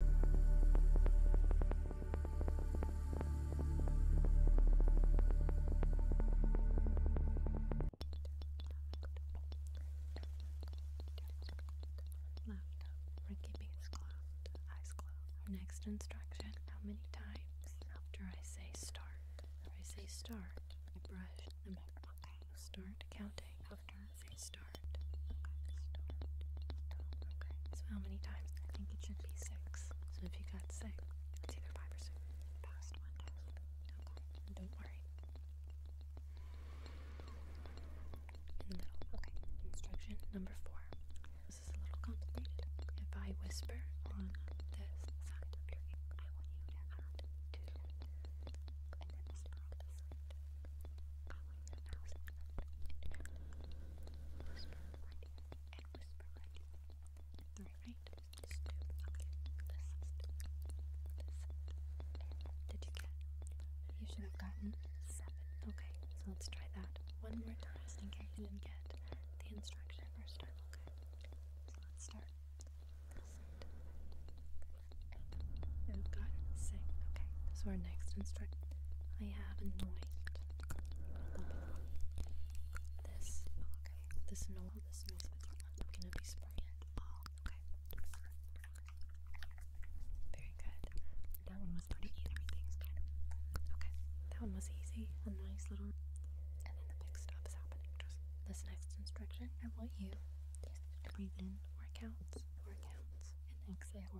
Left, forgiving is closed, eyes closed. Next instruction, how many times after I say start? I say start, I brush the microphone. Start counting after Okay, so how many times? I think it should be six. So if you got six, it's either five or six. Past one don't worry. Okay, instruction number four. This is a little complicated. If I whisper on this side I want you to did you get? You should have gotten seven. Okay, so let's try that one more time just in case you didn't get the instruction first time. Okay, so let's start. Listen. Oh god, sick. Okay, so our next instruction. I have annoyed this. Okay, this no, this no, I'm gonna be spraying it. Oh, okay. Very good. That one was pretty easy. Everything's good. Okay, that one was easy. A nice little. And then the big stuff's happening. Just this next instruction. I want you to breathe in four counts, four counts, and exhale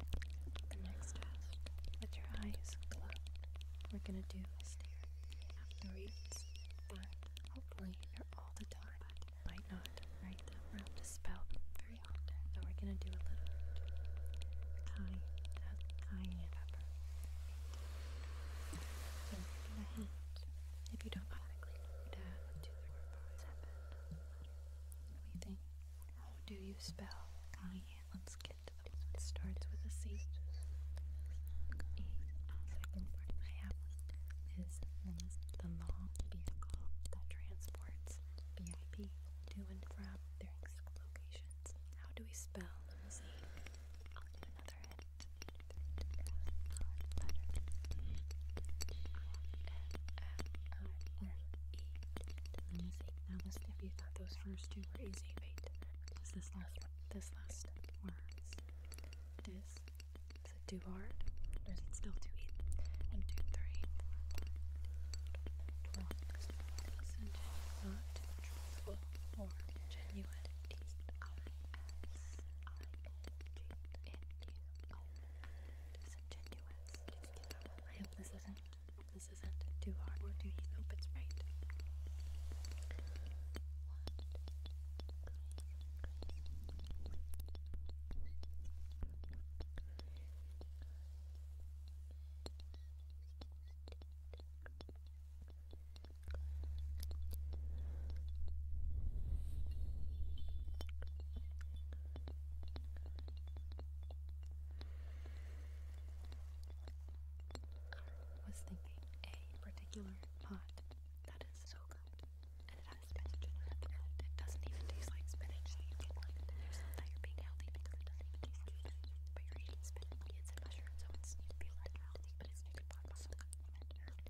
The next task, with your eyes closed, we're gonna do a stare. Afterwards, but hopefully they're all the time. might not, right? We're have to spell them So we're gonna do a little kind of tying it up. So we if you don't automatically know down to the four, five, seven. What do you think? How do you spell Let's get to the one that starts with a C. E. Second word I have is the law vehicle that transports VIP to and from their locations. How do we spell let me see. Now, listen, if you thought those first two were easy, wait. Is this last This last words. It is. Is it too hard? Or is it still too easy? One, two, three, four, five, twelve. not genuine. D-I-S-I-O-G-N-U-O this isn't this isn't too hard or too Hope it's right. Good was thinking a particular pot that is so good, and it has spinach in it, it doesn't even taste like spinach, you that you're being healthy because it doesn't taste like spinach, it's and mushrooms, so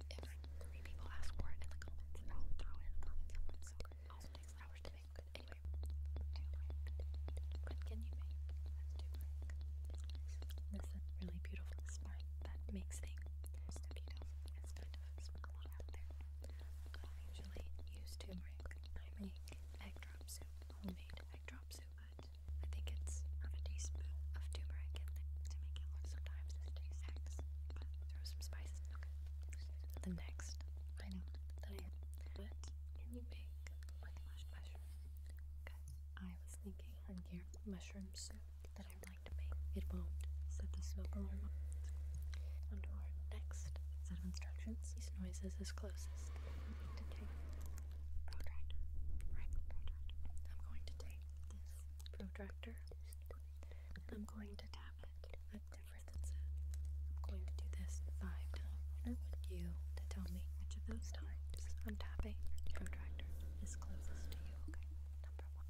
if three people ask for it in the comments, I'll throw it in the comments. i so good also anyway. What can you make? Let's really beautiful that makes things. It's I usually use turmeric. I make egg drop soup, homemade egg drop soup, but I think it's half a teaspoon of turmeric to make it sometimes throw some spices the next I put in the bag with I was thinking on here, mushroom soup that I'd like to make. It won't set the smoke alarm next set of instructions. These noises is closest. I'm to take protractor. protractor. I'm going to take this protractor. I'm going to tap I'm going this five times, I want you to tell me which of those times I'm tapping your protractor is closest to you, okay? Number one.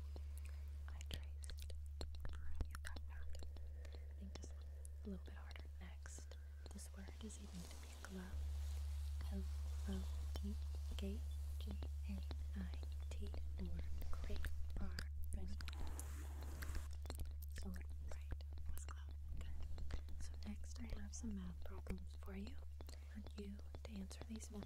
I traced. You got that. this one a little bit harder. Next, this word is even to be So right was glove. So next, I have some math problems for you. I you to answer these ones.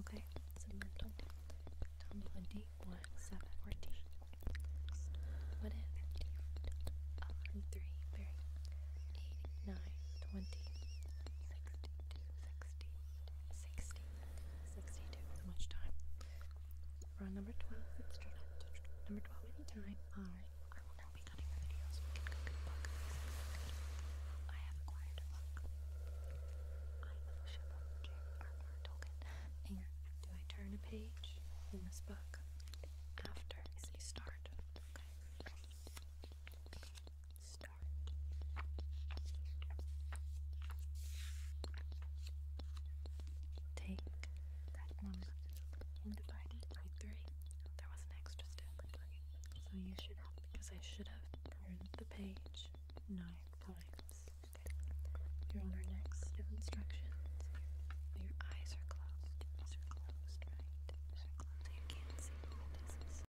okay? Submental. One, seven, fourteen. What three. Very. Eight, nine, twenty. Sixty-two. much time? we number 12 Number twelve anytime. Alright. I have acquired a book. I am a shipwrecked armor token. And do I turn a page in this book after say start? Okay. Start. Take that number and divide it by three. There wasn't an step, so you should because I should have turned the page nine times. You're on our next set of instructions. Your, eyes are closed. eyes are closed, right? Eyes are closed. you can't see